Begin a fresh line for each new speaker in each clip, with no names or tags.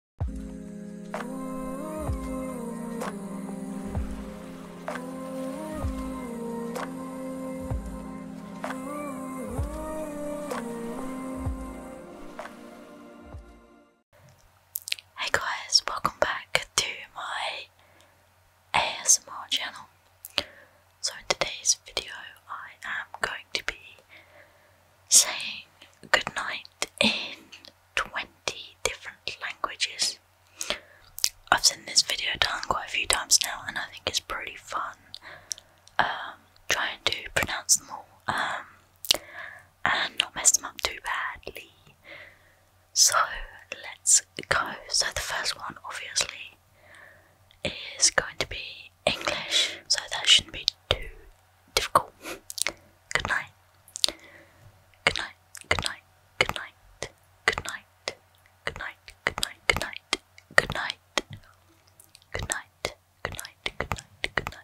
Hey guys, welcome back to my ASMR channel. So, in today's video, I am going to be saying good night in 20 different languages. I've seen this video done quite a few times now, and I think it's pretty fun um, trying to pronounce them all um, and not mess them up too badly. So let's go. So, the first one, obviously, is going to be English, so that shouldn't be too difficult. Good night. Good night. Good night. Good night. Good night. Good night. Good night. Good night. Good night. Good night. Good night. Good night. Good night.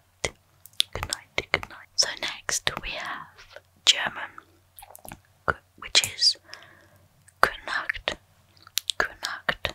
Good night. Good night. So next we have German, which is Guten Nacht. Guten Nacht.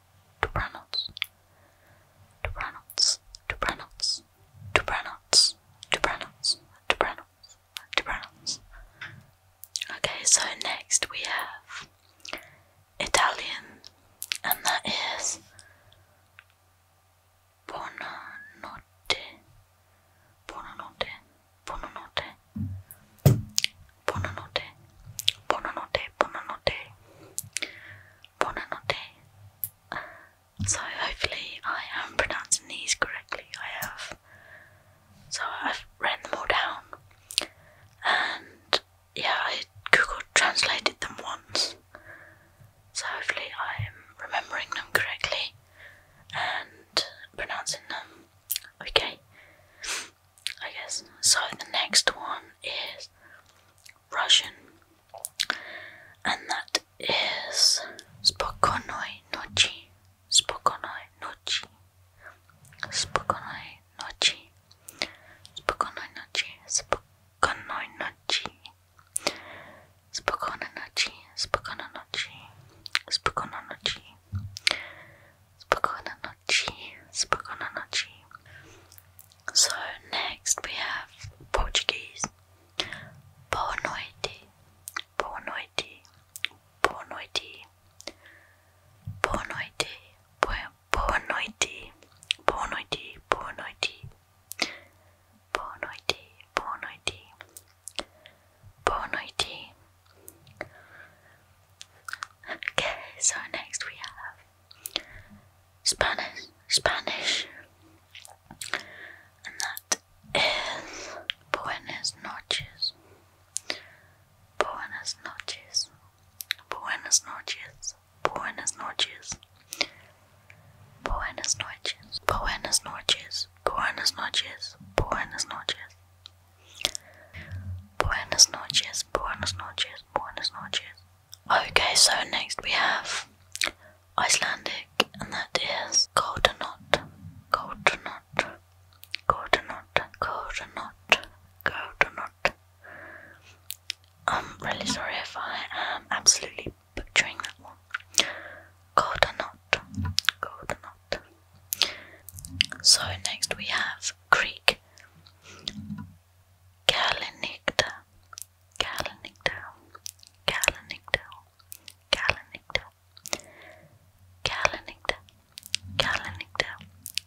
Dobranoc. Dobranoc. Dobranoc. Dobranoc. Dobranoc. Dobranoc. Dobranoc. Okay, so next we have Italian, and that is Buonanotte. Buonanotte. Buonanotte. Buonanotte. Buonanotte. Buonanotte. Buonanotte. So hopefully I am pronouncing these correctly. I have. So I've written them all down. And yeah, I Google translated them once. So hopefully I'm remembering them correctly and pronouncing them okay. I guess. So the next one is Russian, and that is Spokonoy Nochi. Spokonoy Nochi. Spokonoy Nochi. Spokonoy Nochi. Spokonoy Nochi. Spokojna noci, spokojna noci, spokojna noci, spokojna nochi. Spagona nochi. So next we have Portuguese. Boa noite. Boa noite. Boa noite. Boa noite. Boa noite. Boa Okay, so next we have Spanish, Spanish, and that is Buenas noches, Buenas noches, Buenas noches, Buenas noches, Buenas noches, Buenas noches, Buenas noches, Buenas noches, Buenas noches, buenas noches, buenas noches. Okay, so next we have Icelandic, and that is Goldenot, Goldenot, Goldenot, Goldenot, Goldenot. I'm really sorry if I am absolutely butchering that one. Goldenot, Goldenot. So next we have Greek Galenicta, Galenicta, Galenicta, Galenicta, Galenicta, Galenicta,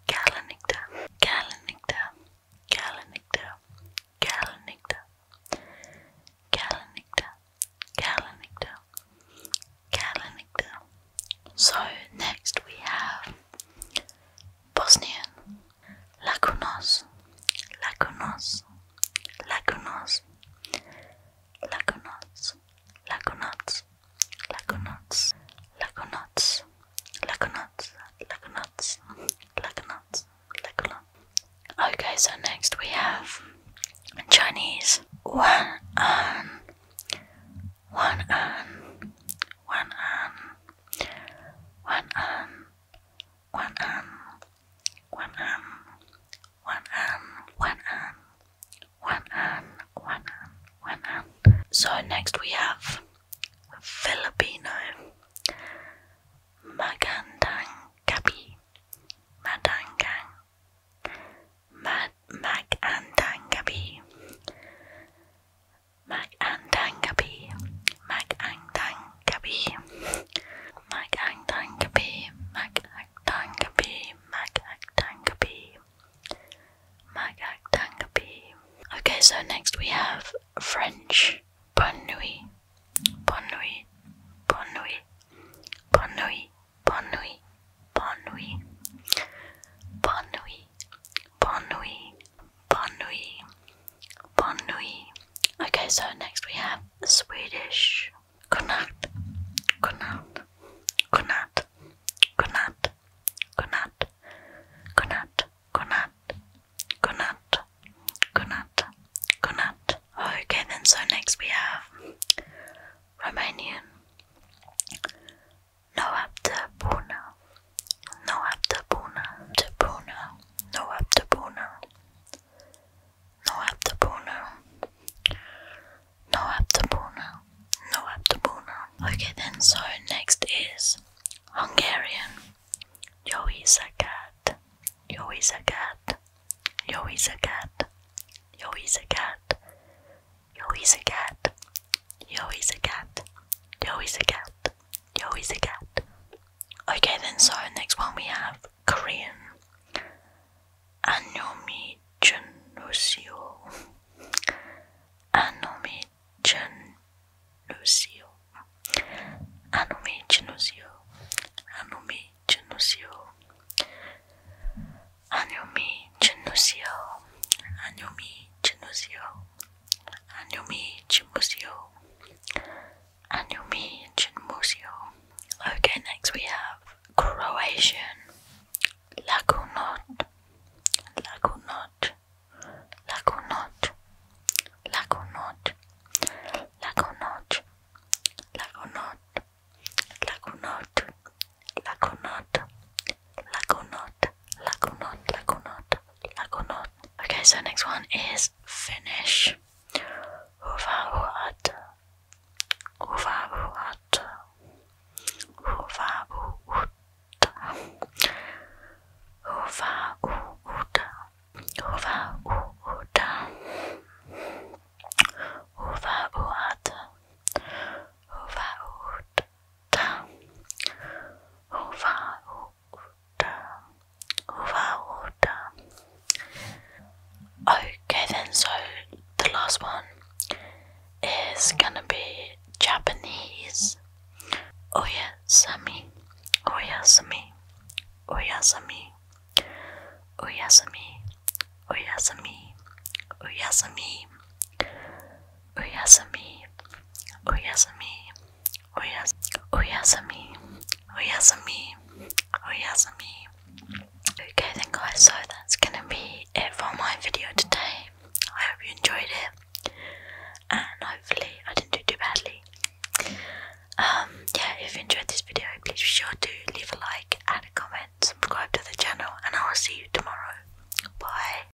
Galenicta, Galenicta, Galenicta, Galenicta, Galenicta, Galenicta, calendar. So next we have Bosnian Lakunos, Lakunos, Lakunos, Lakunos, Lakunots, Lakunots, Lakunots, Lakunots, Lakunots, Lakunots, Lakunots. Okay, so next we have Chinese Wan An um, one on, one on, one on, one on, one on, one on, one on, one on, one on, one on. So next we have Filipino Magandang Gabi Madanggang Magandangabi, Magandangabi, Magandangabi, Magandangabi, Magandangabi, Magandangabi, Magandangabi. Okay, so next we have French Bonne nuit, Bonne nuit, Bonne nuit, Bonne nuit. Bonne nuit. Bonne nuit. Bonne nuit. Bonne nuit. Bonne nuit. Bonne nuit. Okay, so next we have Swedish. Good night. Good night. Good night. Good night. Good night. Good Okay, then so next we have Romanian. Noaptabuna, Noaptabuna, Tabuna, Noaptabuna, Noaptabuna, Noaptabuna, Noaptabuna. Okay, then, so next is Hungarian. Yoisakat, Yoisakat, a cat. Joey's a cat. Joey's a cat. Joey's a cat. Joey's a cat. Okay, then, so next one we have Korean. Anomi Genusio. Anomi Genusio. Anomi Genusio. Anomi mente no seu anumente no seu anumente no seu okay next we have Croatian lagunot lagunot lagunot lagunot lagunot lagunot Lagunot, Lagunot, Lagunot, Lagunot, Lagunot, Lagunot. Okay, so next one is Finnish. Uvavuat, Uvavuat, Uvavuut, Uvavuut, Uvavuut. Uva uata, uva uta, uva uta, uva uta. Okay, then, so the last one is gonna be Japanese. Oyasami, oyasami, oyasami, Oyasumi, Oyasumi, Oyasumi, Oyasumi, Oyasumi, Oyas Oyasumi, Oyasumi, Oyasumi. Okay then guys, so that's gonna be it for my video today. I hope you enjoyed it and hopefully I didn't do too badly. Um yeah, if you enjoyed this video please be sure to leave a like and a comment subscribe to the channel, and I will see you tomorrow. Bye.